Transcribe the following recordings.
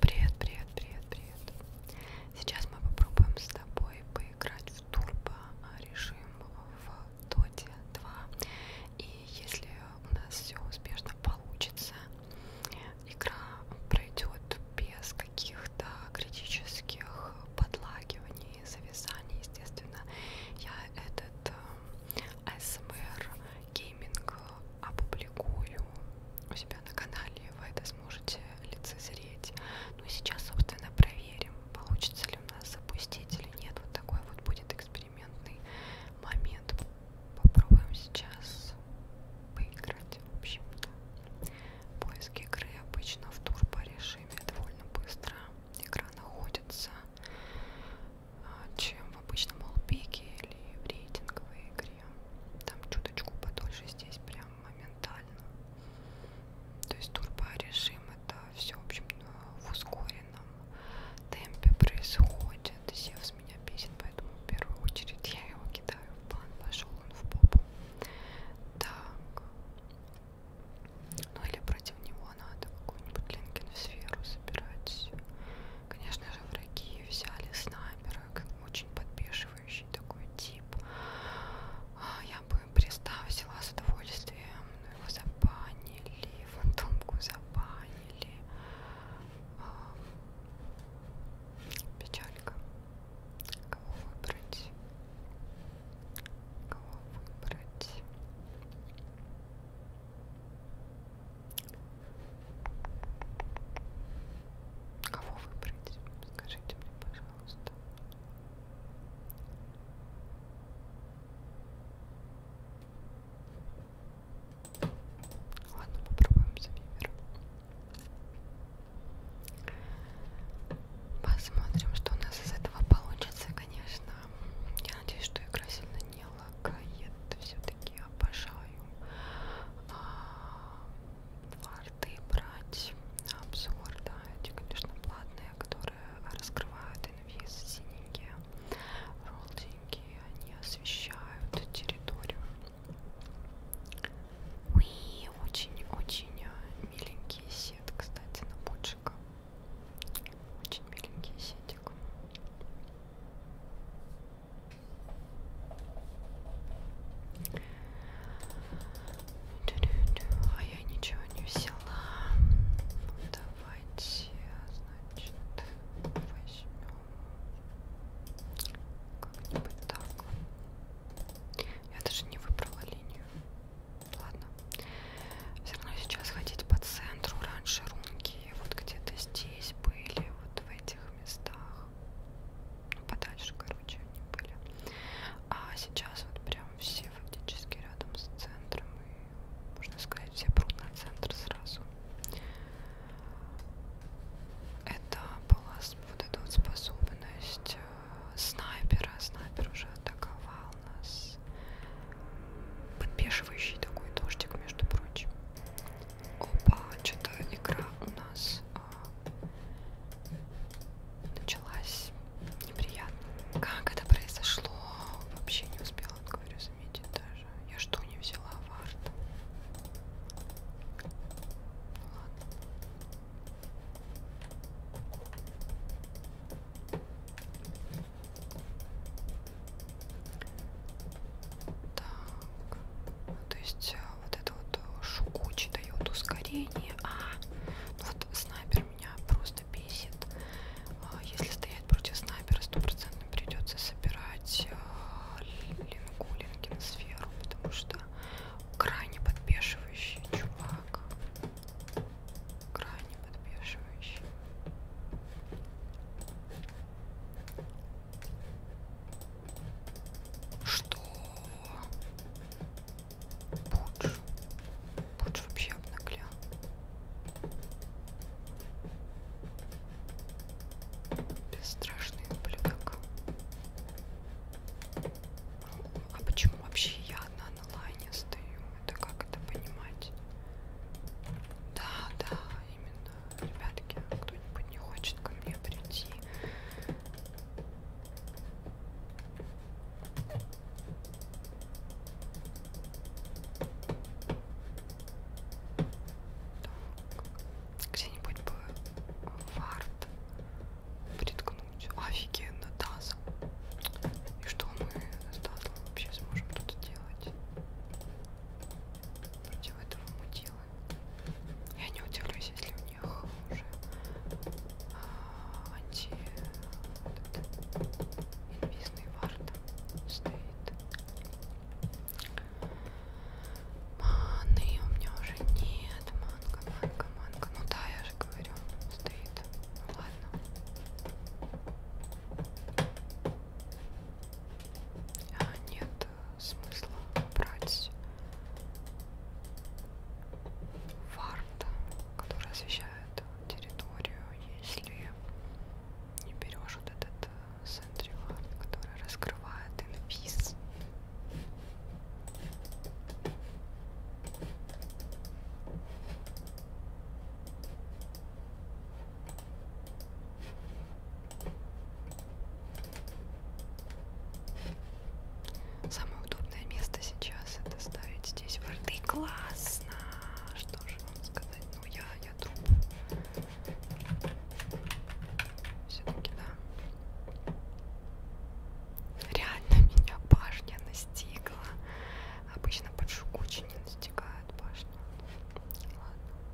Привет, привет, привет, привет. Сейчас мы попробуем с тобой поиграть в турбо режим в Доте 2. И если у нас все успешно получится, игра пройдет без каких-то критических подлагиваний, зависаний, естественно. Я этот АСМР э, гейминг опубликую у себя на канале, вы это сможете лицезреть. Ну и сейчас, собственно, проверим, получится ли у нас запустить или нет. Вот такой вот будет экспериментный момент. Попробуем сейчас поиграть, в общем-то. Поиск игры обычно в турбо режиме довольно быстро. Игра находится, а, чем в обычном олпике или в рейтинговой игре там чуточку подольше, здесь прям моментально. То есть турборежим это все, в общем, э, в ускоренном темпе происходит. Севс меня бесит, поэтому в первую очередь я его кидаю в бан, пошел он в попу. Так. Ну или против него надо какую-нибудь Линкин в сферу собирать. Конечно же, враги взяли снайпера, как очень подбешивающий такой тип. А, я бы представила с удовольствием, но ну, его забанили, фантомку забанили. А, печалька. Кого выбрать? Кого выбрать? Кого выбрать? Скажите мне, пожалуйста. Ладно, попробуем за вибер. Посмотрим, что у нас из этого получится, конечно. Я надеюсь, что игра сильно не лагает все-таки я обожаю ларты а, брать на обзор, да, эти, конечно, платные, которые раскрывают инвиз синенькие ролдинги, они освещают территорию. Уи, очень-очень а, миленький сет, кстати, на пучика. Очень миленький сетик. А я ничего не взяла. Давайте, значит, возьмем как-нибудь так. Я даже не выбрала линию. Ладно. Все равно сейчас ходить по центру. Раньше рунки вот где-то здесь были, вот в этих местах. Ну, подальше, короче, они были. А сейчас вот прям все фактически рядом с центром. И, можно сказать, все прут на центр сразу. Это была вот эта вот способность э, снайпера. Снайпер уже атаковал нас. Подбешивающий такой дождик, между прочим. Опа, что-то игра у нас а, началась неприятно. Как это произошло? Вообще не успела, говорю, заметить даже. Я что не взяла вард? Ну, ладно. Так. То есть э, вот это вот э, шукучи дает ускорение. А, ну вот снайпер меня просто бесит. А, если стоять против снайпера, стопроцентно придется собирать э, линку, линкин сферу, потому что крайне подбешивающий чувак. Крайне подбешивающий. Что? Пудж. Пудж вообще обнаглял. Бесстрашный ублюдок. А почему вообще я одна на лайне стою? Это как это понимать? Да, да, именно ребятки, кто-нибудь не хочет ко мне прийти. Где-нибудь бы фарт приткнуть. Офигенно, тазом. И что мы с тазом вообще сможем тут делать? Против этого мутила смыслы. Я не удивлюсь, если у них уже а, анти инвизный вард стоит. Маны у меня уже нет. Манка, манка, манка. Ну да, я же говорю, стоит. Ну ладно. А, нет, смысла брать фарт, который освещает территорию, если не берешь вот этот сентри э, фарт, который раскрывает инвиз. Самое удобное место сейчас это ставить здесь ворды. Классно! Что же вам сказать? Ну я, я труп. Все-таки да. Реально меня башня настигла. Обычно под шукучи не настигает башня. Ладно.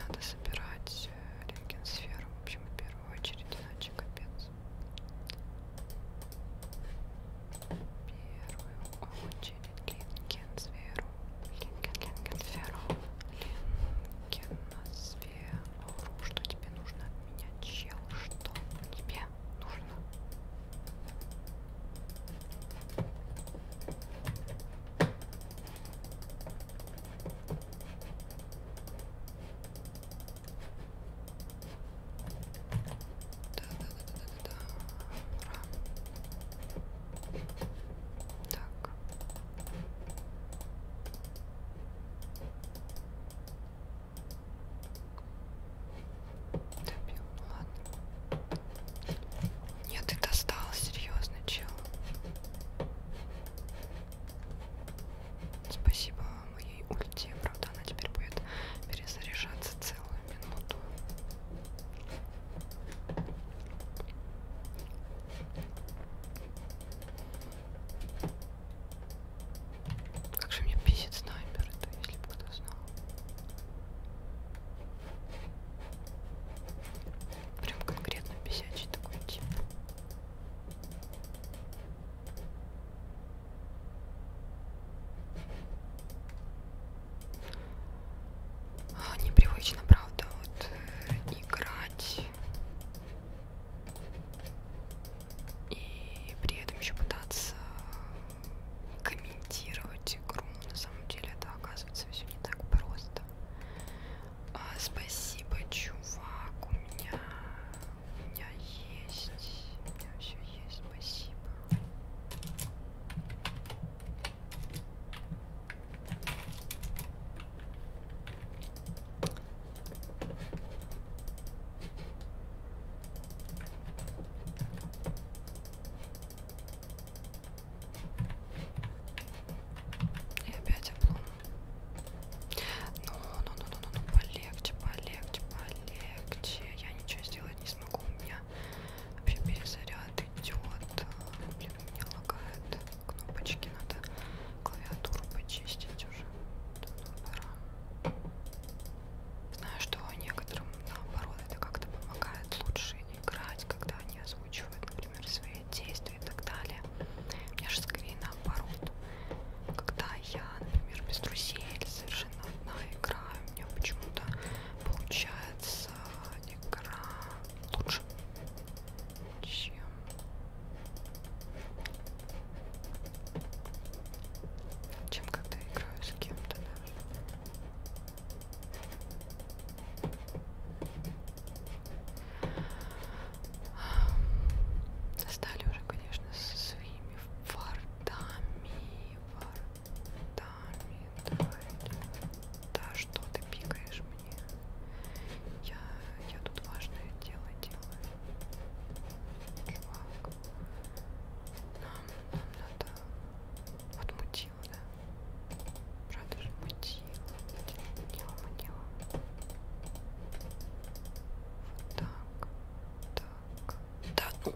Надо собирать э, рентген-сферу, в общем, в первую очередь, иначе капец. В первую очередь рентген-сферу. Линген-линген-сферу. Линген-сферу. Что тебе нужно от меня, чел? Что тебе нужно? Так. Добил, ладно. Нет, ты достал, серьезно, чел. Спасибо моей ульте, правда, она теперь будет перезаряжаться целую минуту. Как же мне бесит снайпер, это если бы кто знал. Прям конкретно бесячий такой тип. А, непривычно, правда, вот э, играть и при этом еще пытаться комментировать игру. На самом деле это оказывается все не так просто это. А, спасибо, чувак, у меня, у меня есть, у меня все есть, спасибо. И опять облом. Ну, ну, ну, ну, ну, ну, полегче, полегче, полегче. Я ничего сделать не смогу. У меня вообще перезаряд идет. Блин, у меня лагает. Кнопочки надо клавиатуру почистить уже. Ну, пора. Знаю, что некоторым наоборот это как-то помогает лучше играть, когда они озвучивает, например, свои действия и так далее. Мне же скорее наоборот. Когда я, например, без друзей или совершенно одна играю, у меня почему-то получается игра лучше, чем чем когда играю с кем-то, да. Достали уже, конечно, со своими фортами. Фортами. Давай. Да что ты пикаешь мне? Я, я тут важное дело делаю. Чувак. Нам, нам надо отмутить мутила, да? Правда же мутила. Мутила, мутила. Вот так. Так. Да ну,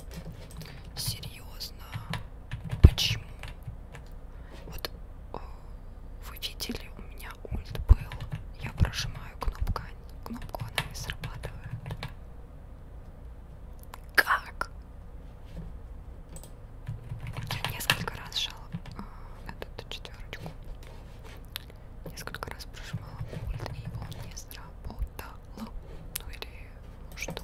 серьезно. Почему? Вот о, э, вы видели, у меня ульт был. Я прожимаю кнопку, а кнопку она не срабатывает. Как? Я несколько раз жала а, эту четверочку. Несколько раз прожимала пульт, и он не сработал. Ну или что?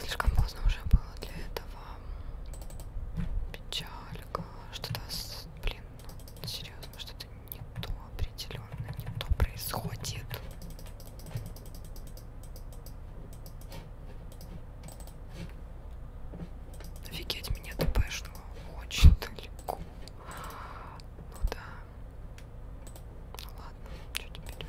Слишком поздно уже было для этого. Печалька. Что-то, блин, ну, серьезно, что-то не то определенно, не то происходит. Офигеть, меня ТПшного очень далеко. Ну да. Ну ладно, что теперь?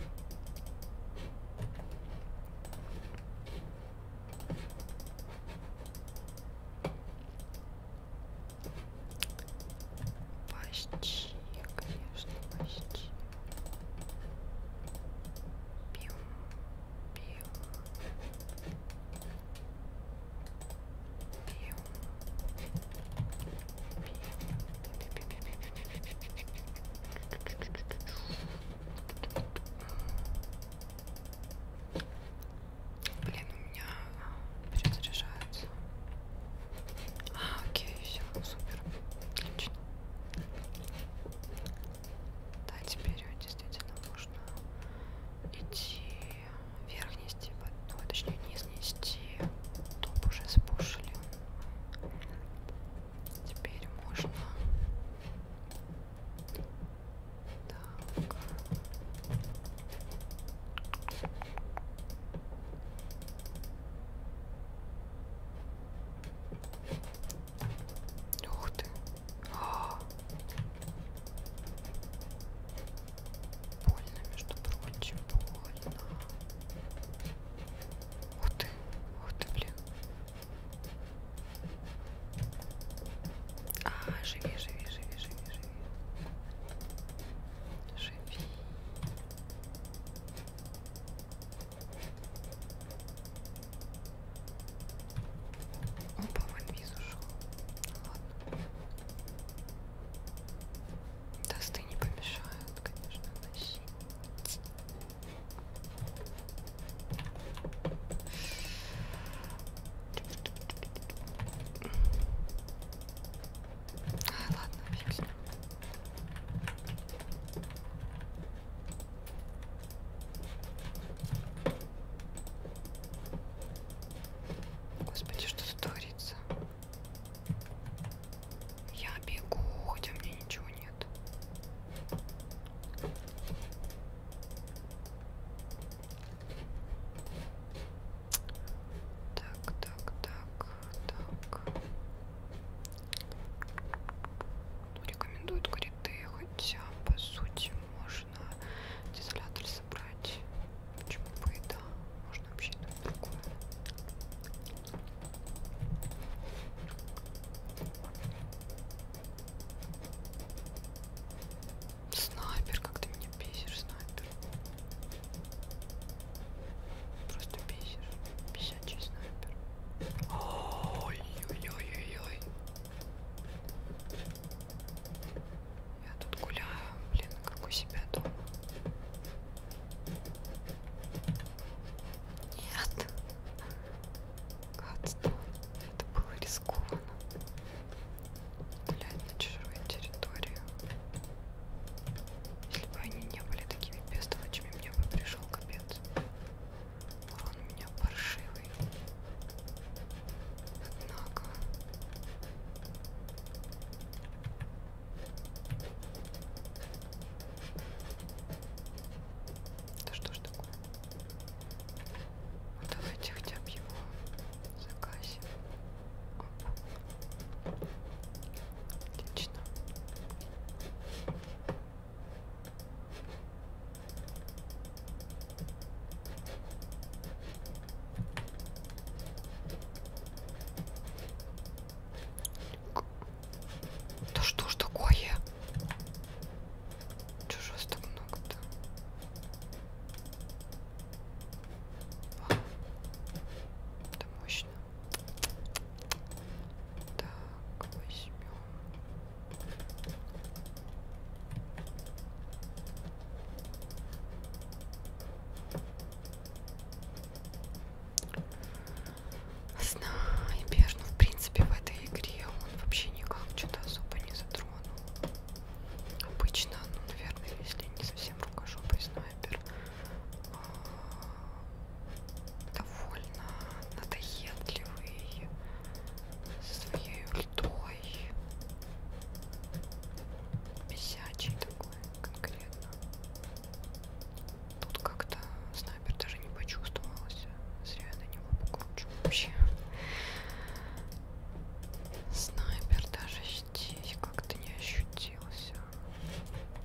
Почти, конечно, почти. Пью, пью, пью, Блин, у меня а, перезаряжается. А, окей, все, супер. Отлично. Да, теперь действительно можно идти вверх нести, ну, точнее низ нести, топ уже спушили. Теперь можно так. Ух ты. А -а -а. Больно, между прочим, больно. Ух ты, ух ты, блин. А, живи, живи, живи, живи, живи. Живи. Он, по-моему, виз ушел. Ладно. Тосты не помешают, конечно, носить. А, ладно, фиг с ним. Господи, что тут творится? Я бегу, хотя у меня ничего нет. Так, так, так, так рекомендуют, говорит, ты хотя а, по сути можно дизолятор собрать. Почему бы и да? Можно вообще то и другое. Снайпер, как ты меня бесишь, снайпер. Просто бесишь. 50 честно выберу. Ой-ой-ой-ой-ой. Я тут гуляю, блин, как у себя дома. Нет. Гадство. Это было рискованно. Гулять на чужой территории. Если бы они не были такими бестолочами, мне бы пришел капец. Он у меня паршивый. Однако. Да что ж такое? Ну, давайте хотя бы его заказим. Оп. Отлично. Да что ж такое? Чего ж вас так много-то? Это мощно. Так, возьмем. Снайпер, ну в принципе в этой игре он вообще никак что-то особо не затронул. Обычно, ну наверное, если не совсем рукожопый снайпер, а, довольно надоедливый со своей ультой бесячий такой конкретно тут как-то снайпер даже не почувствовался зря я на него покручу вообще снайпер даже здесь как-то не ощутился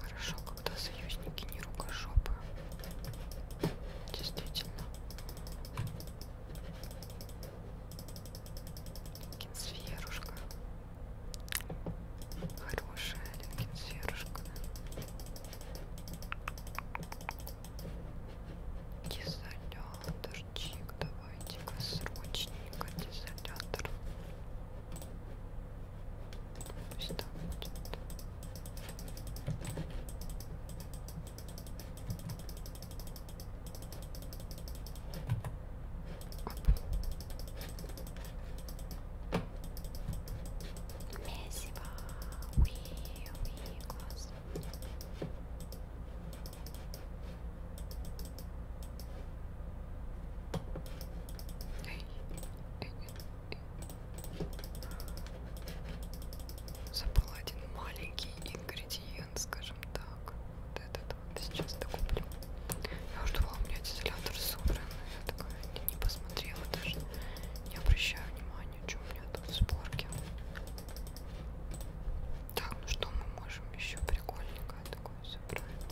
Хорошо, когда союзники не рукожопы. Действительно. Линкенсферушка. Хорошая Линкенсферушка. Дезолятор, давайте-ка срочненько дезолятор. Пусть там идет. Месиво, уи, уи, класс. Забыл один маленький ингредиент, скажем так. Вот этот вот сейчас докуплю. Я уже думала, у меня дизелятор собран. Я такая не посмотрела даже. Не обращаю внимания, что у меня тут в сборке. Так, ну что мы можем еще прикольненько такое собрать?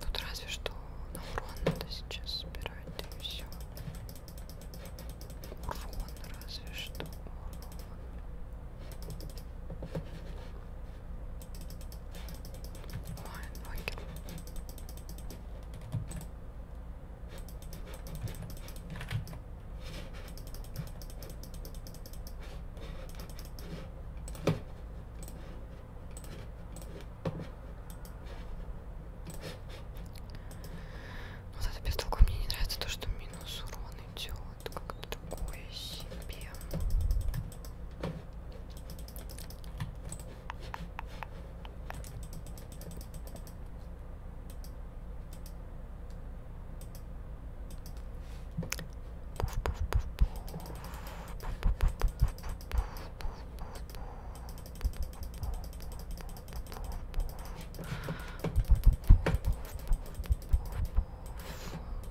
Тут разве что на урон надо сейчас собирать, да и все. Урон, разве что урон. Ой, ногер. Вот это без толку мне не нравится то, что минус урон идет, как-то другое себе.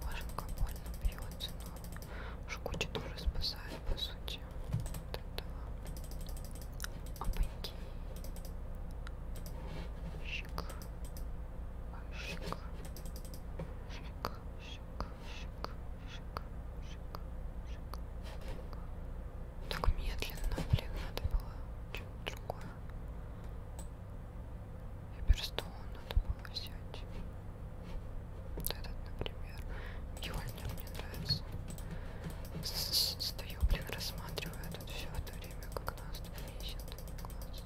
Боже, как больно бьется, но шкуча тоже спасает, по сути. Опаньки. Щик. Щик. Щик. Щик. Щик. Щик. Щик. Щик. Так медленно, блин, надо было что-то другое. Эберстоун надо было взять. Вот этот, например. Йольнер мне нравится. Стою, блин, рассматриваю тут все в то время, как нас тут ищет класс.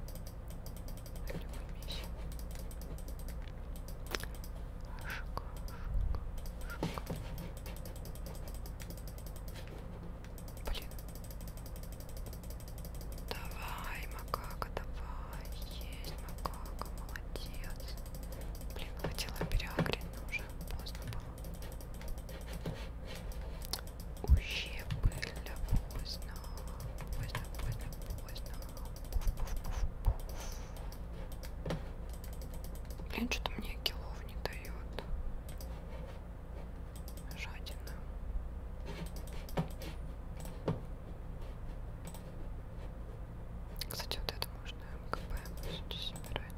Или мы ищем. Шик, шик, шик. Блин. Давай, макака, давай. Есть макака, молодец. Блин, хотела переагрить, но уже поздно было. Ущипы для поздно. Поздно, поздно, поздно. Пуф, пуф, пуф, пуф. Блин, что-то мне килов не дает. Жадина. Кстати, вот это можно МКП собирать.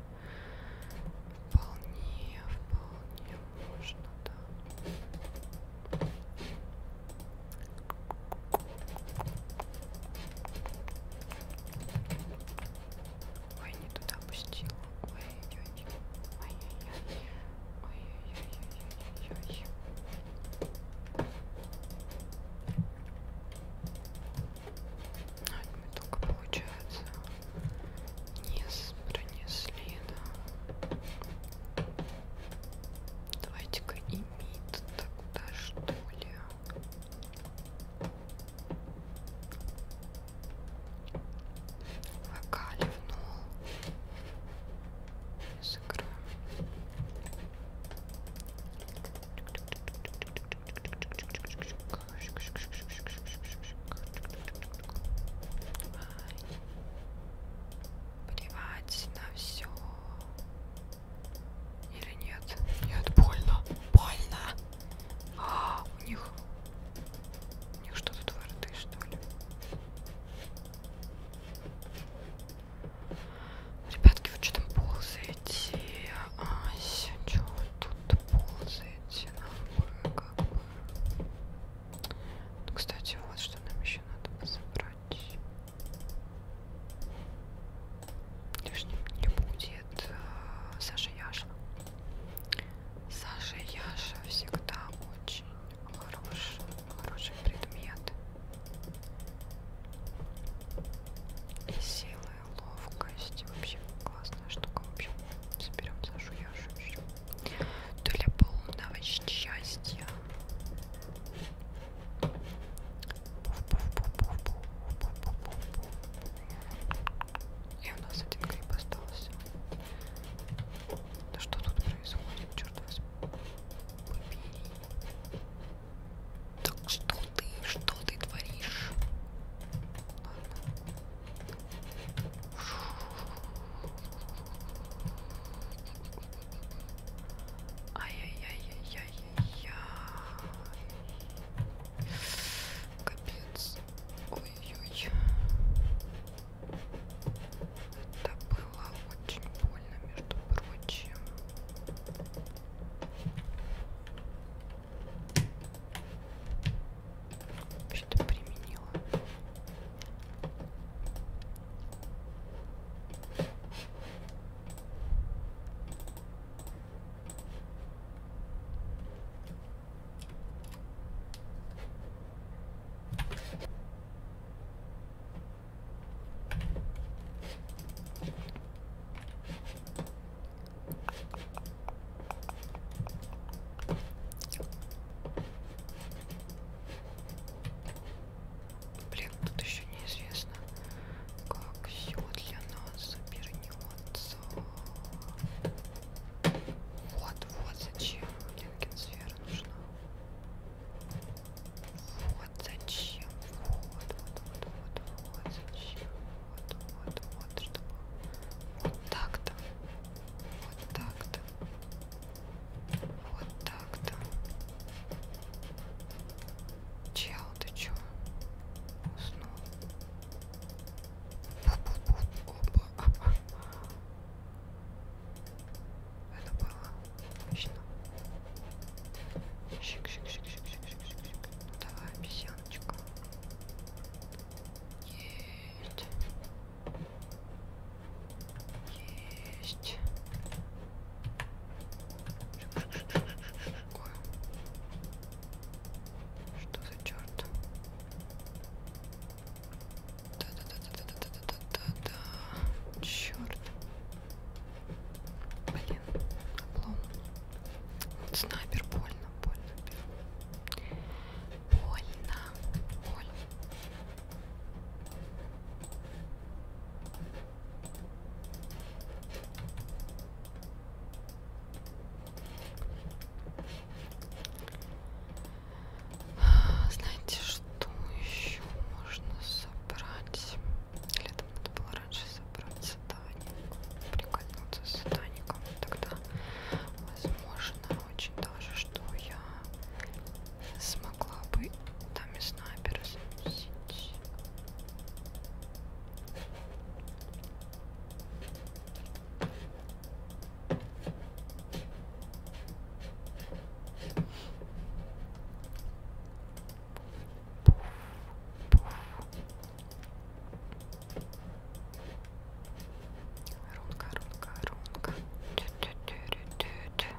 Вполне, вполне можно, да. Ой, не туда пустила. Ой-ой-ой. Ой-ой-ой. Ой-ой-ой-ой-ой-ой. Одни а, только получается низ пронесли, да. Давайте-ка и мид тогда что ли. Вокали в нол. Сыграем. Тик-тик-тик-тик-тик-тик-тик-тик-тик-тик. Плевать на все. Или нет? Нет, больно. Больно. А, у них... У них что-то твердо, что ли? Ребятки, вы что там ползаете? Ася, что вы тут ползаете? как бы... Кстати, вот что нам еще надо пособрать. Лишним не будет э, Саша Яша. Саша Яша всегда очень хороший, хороший предмет. И сила ловкость. Вообще классная штука. В общем, соберем Сашу Яшу еще. Для полного счастья. И у нас один гриб остался. Да что тут происходит, черт вас побери. Так что ты, что ты творишь? Ладно. Ай-яй-яй-яй-яй-яй. Капец. Ой-ой. Это было очень больно, между прочим. Что применила? Блин, тут еще неизвестно, как все для нас обернется. Вот, вот зачем Линкенсфера нужна. Вот зачем. Вот, вот, вот, вот, вот зачем вот, вот, вот, чтобы вот так-то, вот так-то, вот так-то. Чел, ты чё? Уснул. Опа. Это было отлично. Щик, щик, щик, щик, щик, щик, щик, щик. Ну давай, обезьяночка. Есть. Есть. Ой. Что за черт? Да-да-да-да-да-да-да-да-да. Черт. Блин, облом. Снайпер больно, больно, больно, больно. Знаете, что еще можно собрать? Летом надо было раньше собраться, да прикольнуться с сатаником, тогда возможно очень даже, что я смогла бы там и снайпер снизить. Пуф, пуф, Рунка, рунка, рунка. Тю -тю -тю -тю -тю -тю.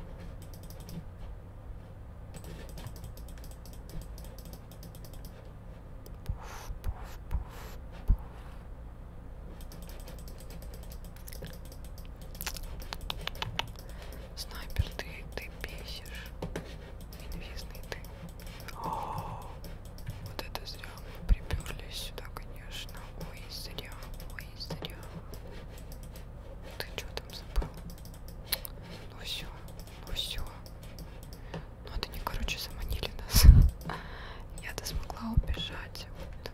Пуф, пуф, пуф, пуф. Снайпер, ты, ты бесишь. Инвизный ты. О -о -о. Вот это зря. Приперлись сюда, конечно. Ой, зря. Ой, зря. Ты что там забыл? Ну все, ну все. Ну это не короче заманили нас. Я-то смогла убежать. Вот.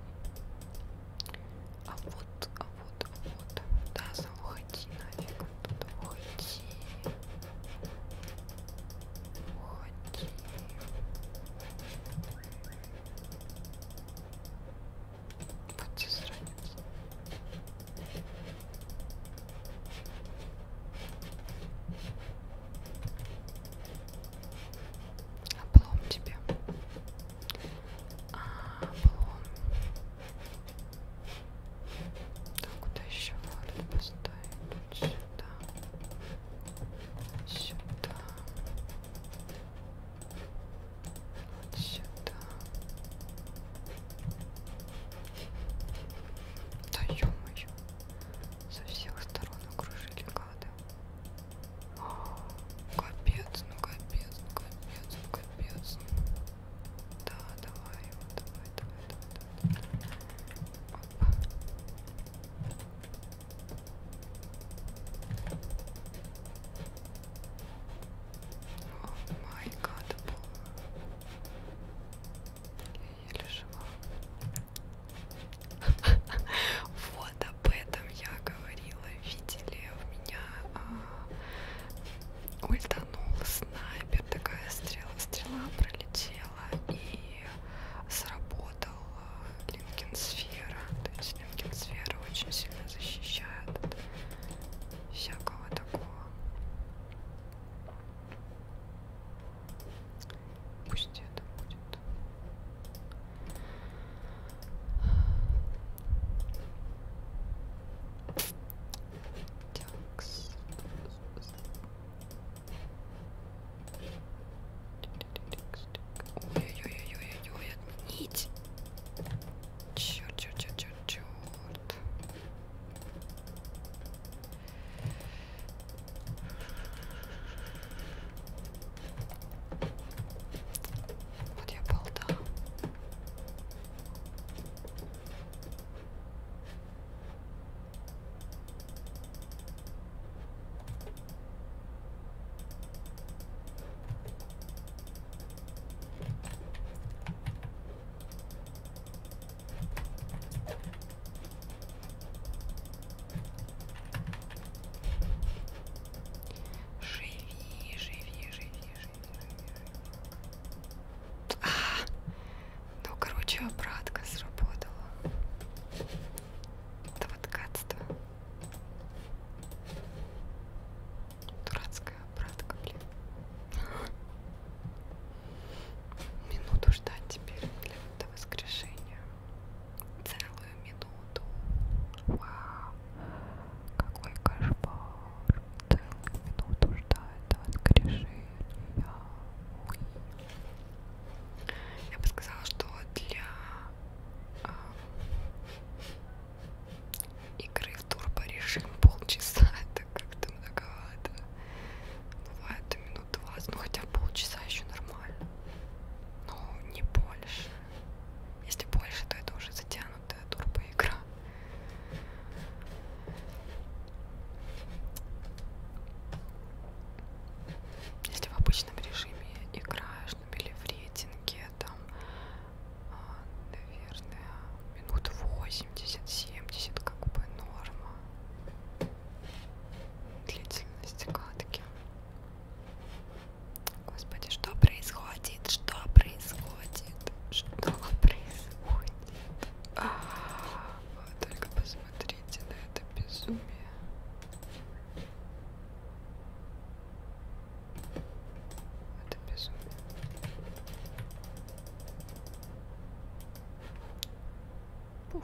А вот, а вот, а вот. Да, уходи нафиг. Оттуда уходи. Окей. Вот засранец. Облом тебе. А, облом. Так, куда еще ворот поставить? вот сюда, сюда, вот сюда. Да ё-моё, со всех сторон окружили гады. О, капец, ну капец, ну капец, ну капец. Да, давай, давай, давай, давай, о май гад, я еле жива. Вот об этом я говорила, видели у меня а, ультанул снайпер, такая стрела, стрела пролетела и сработал линкенсфера. То есть линкенсфера очень сильно защищает от всякого такого. Пусть это будет. Так. Ой-ой-ой-ой-ой, отменить. Черт, черт, черт, черт, черт. Вот я балда. Живи, живи, живи, живи, живи. А, ну, короче, обратка сработала. Это вот гадство. Дурацкая обратка, блин. Минуту ждать теперь для этого воскрешения. Целую минуту. Вау. Какой кошмар. Целую минуту ждать до воскрешения. Ой. Я бы сказала, что для э, игры в турбо режим полчаса это как-то многовато. Бывает минут 20, ну хотя полчаса еще нормально. Но не больше. Если больше, то это уже затянутая турбо игра. Если в обычном режиме играешь на билифрейтинге, там, а, наверное, минут 80-70 как бы норма длительность катки. Господи, что происходит? Что происходит? Что происходит? А -а -а. Только посмотрите посмотрите на это безумие. Это безумие. Пуф.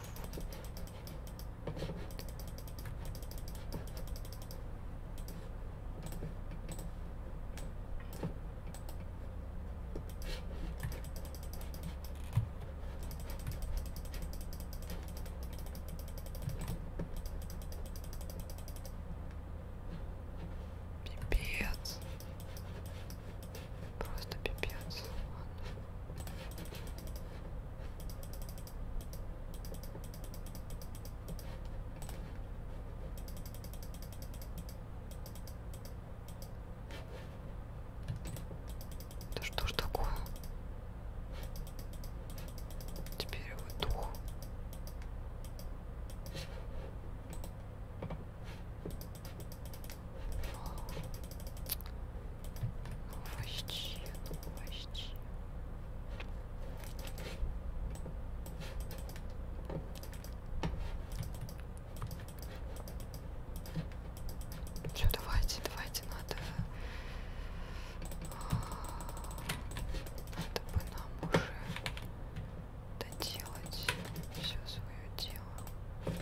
Пипец. Просто пипец. Ладно. Да что ж такое? Теперь его дух. Ну почти, ну почти. Все, давайте, давайте, надо... Надо бы нам уже доделать все свое дело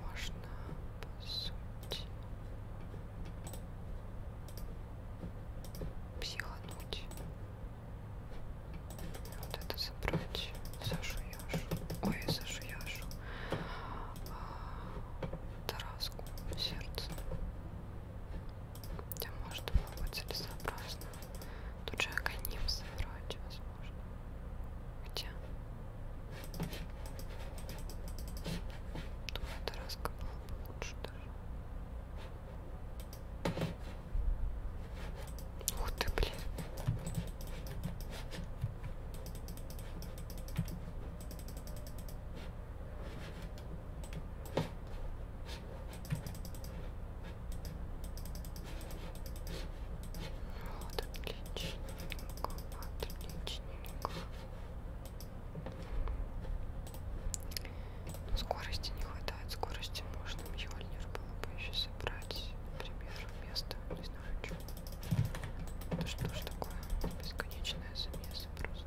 можно по сути психануть. Вот это забрать, Сашу Яшу, ой, Сашу Яшу, а, Тараску, сердце. Хотя может было бы целесообразно. Тут же Аканим собрать, возможно. Хотя то в этот раз как было бы лучше даже. Ух ты, блин. Вот отлично, отлично. Но ну, скорости не хватает, скорости можно Мьёльнир было бы еще собрать, например, вместо, не знаю, что. Это что ж такое? Бесконечная замеса просто.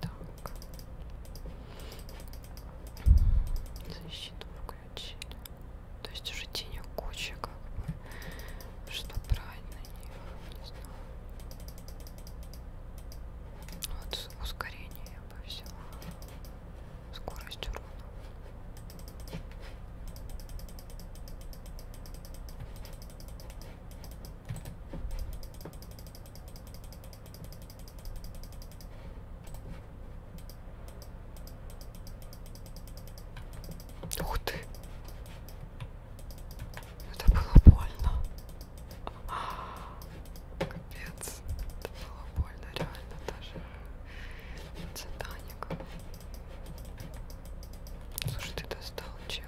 Так. Защиту включили. То есть уже тени куча, как бы. Что брать на них? Не знаю. Вот ускорение я бы взяла. Скорость урона. Ух ты! Это было больно. Капец. Это было больно, реально даже. Титаник. Слушай, ты достал, чел.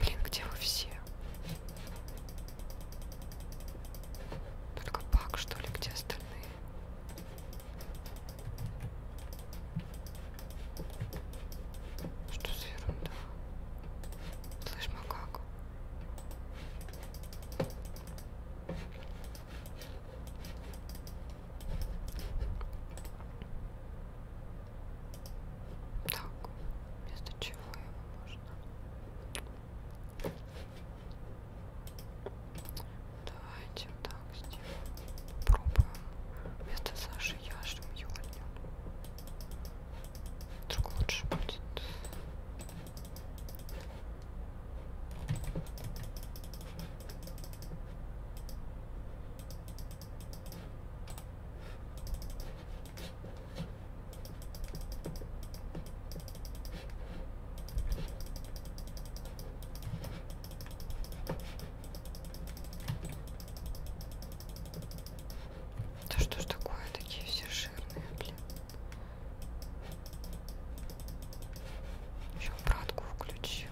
Блин, где вы все? Только пак, что ли, где остальные? Что за ерунда? Слышь, макаку? Так, вместо чего его можно? Давайте так сделаем. Пробуем. Вместо Саши яшем Юлю. Вдруг лучше будет. Да что ж такое, такие все жирные, блин. Еще братку включил.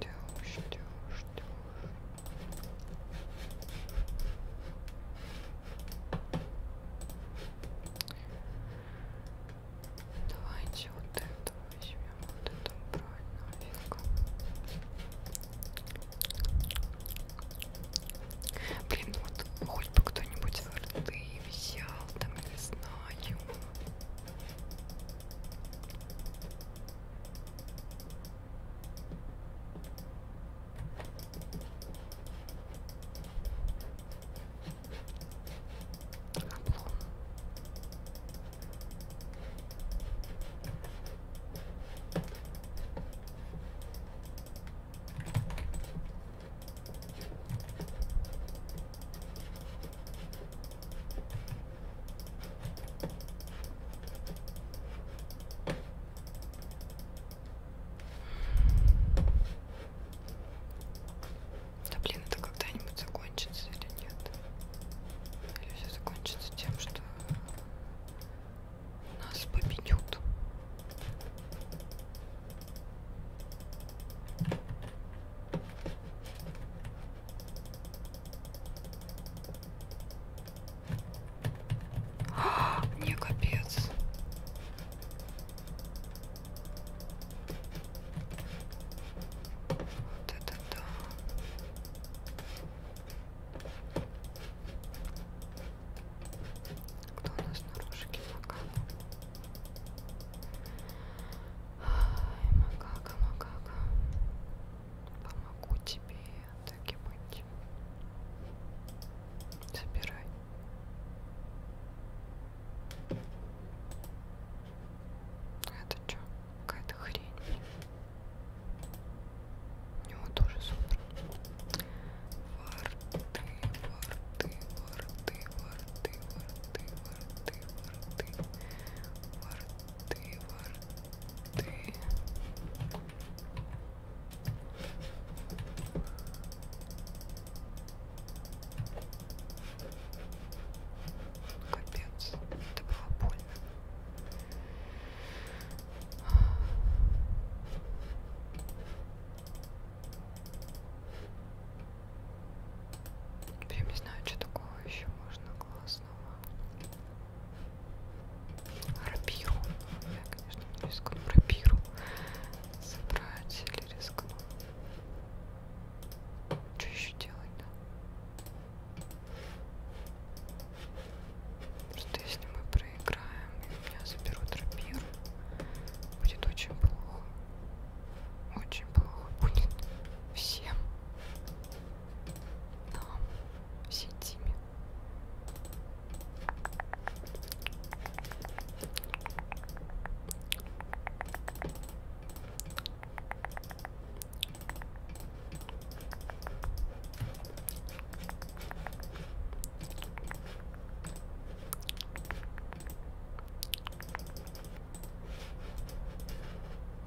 Дёж, дёж, дёж. Давайте вот это возьмем вот эту бровь нафиг. Блин, ну вот хоть бы кто-нибудь в рты взял, там не знаю. Облом. Да блин, это когда-нибудь закончится закончится или нет. Или все закончится тем, что нас победят. А, мне капец. Вот это да. Кто у нас на рожке макака? Ай, макака, макака. Помогу тебе, так и быть. Забирай. Это что? Какая-то хрень. У него тоже супер. Ворты, ворты, ворты, ворты, ворты, ворты, ворты, ворты, ворты. Капец, это было больно. Прям не знаю, что такого еще можно классного. Рапиру. Я, конечно, не рискну рапиру собрать или рискну. Что еще делать, да? Просто если мы проиграем, и меня заберут рапир, будет очень плохо. Очень плохо будет всем нам, всей тиме.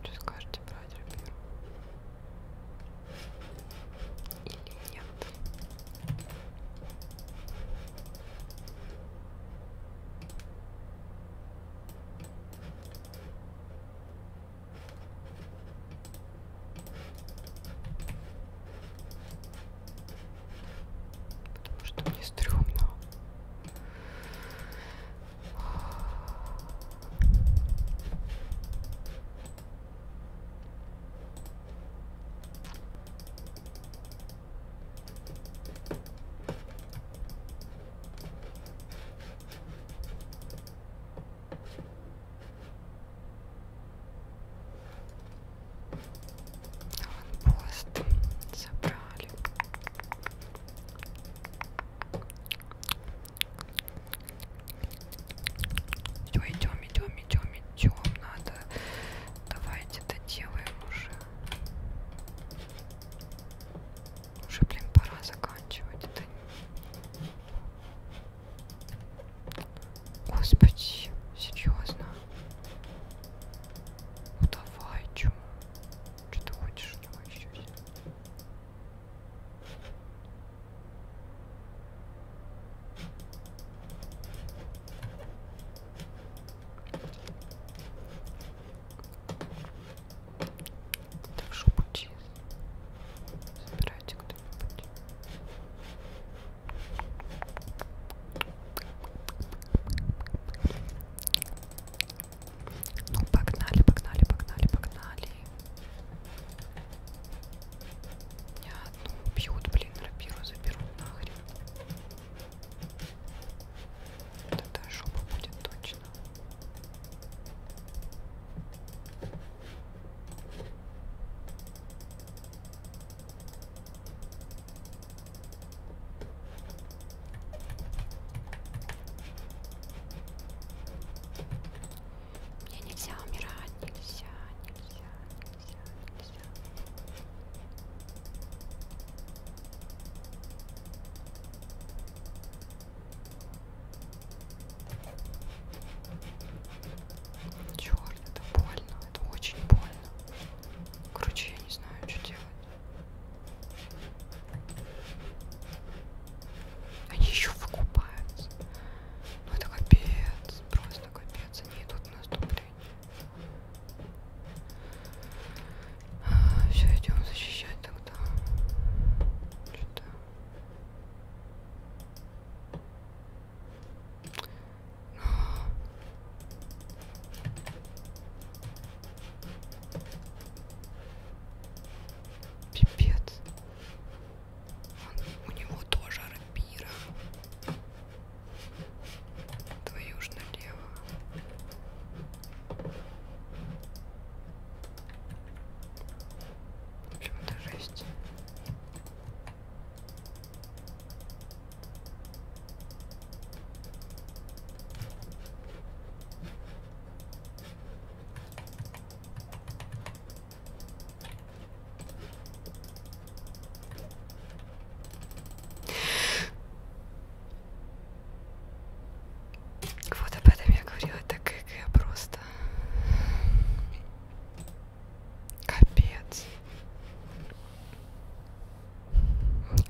Что скажете, брать рапиру? Или нет? Потому что мне стрёмно. Аванпост забрали. Все, идем, идем, идем, идем. Надо. Давайте доделаем уже. Уже, блин, пора заканчивать это. Господи, серьезно. Ну давай, чё? Что ты хочешь от него еще взять? Прошу пути. Забирайте кто-нибудь. Ну, погнали, погнали, погнали, погнали. Меня одну бьют, блин, рапиру заберут нахрен. Вот эта жопа будет точно. Мне нельзя умирать, нельзя, нельзя, нельзя, нельзя. Черт, это больно, это очень больно. Короче, я не знаю, что делать. Они еще выкупаются. Ну это капец, просто капец. Они идут в наступление. А, Все, идем защищать там как-то что-то пипец Он, у него тоже рапира твою ж налево в общем, это жесть. Вот об этом я говорила, так как я просто... Капец.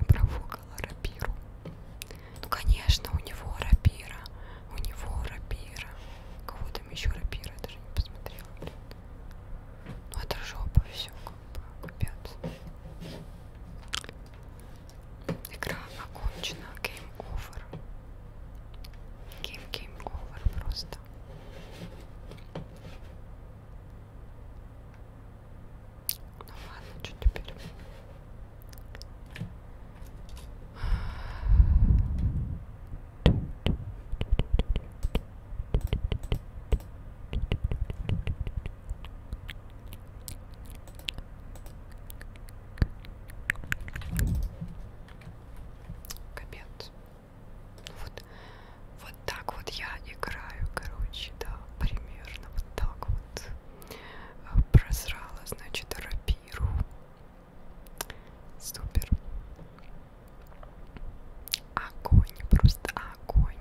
Провокала рапиру. Ну, конечно, у него рапира. У него рапира. У кого там еще рапира? Я даже не посмотрела, блин. Ну, это жопа, все, как бы, капец. Игра окончена. Game over. Game game over просто. Ну ладно, что теперь? Капец. Ну вот, вот так вот я играю, короче, да, примерно вот так вот. А, Прозрала, значит, рапиру. Супер. Огонь, просто огонь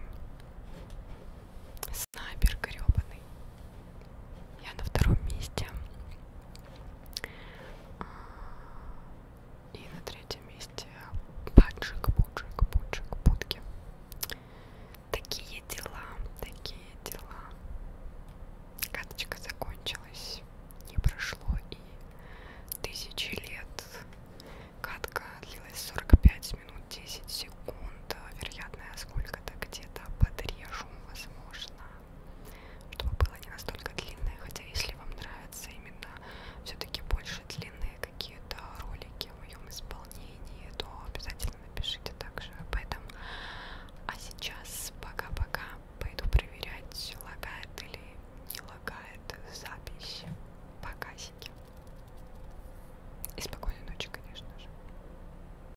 снайпер гребаный. Я на втором месте. А, и на третьем месте Паджик, Пуджик, Пуджик, Путки. Такие дела, такие дела. Каточка закончилась. Не прошло и тысячи лет. Катка длилась 45 минут 10 секунд. Вероятно, сколько-то где-то подрежу шум возможно, чтобы было не настолько длинное, хотя если вам нравятся именно все-таки больше длинные какие-то ролики в моем исполнении, то обязательно напишите также об этом. А сейчас пока-пока пойду проверять, лагает или не лагает запись. Показики. И спокойной ночи, конечно же.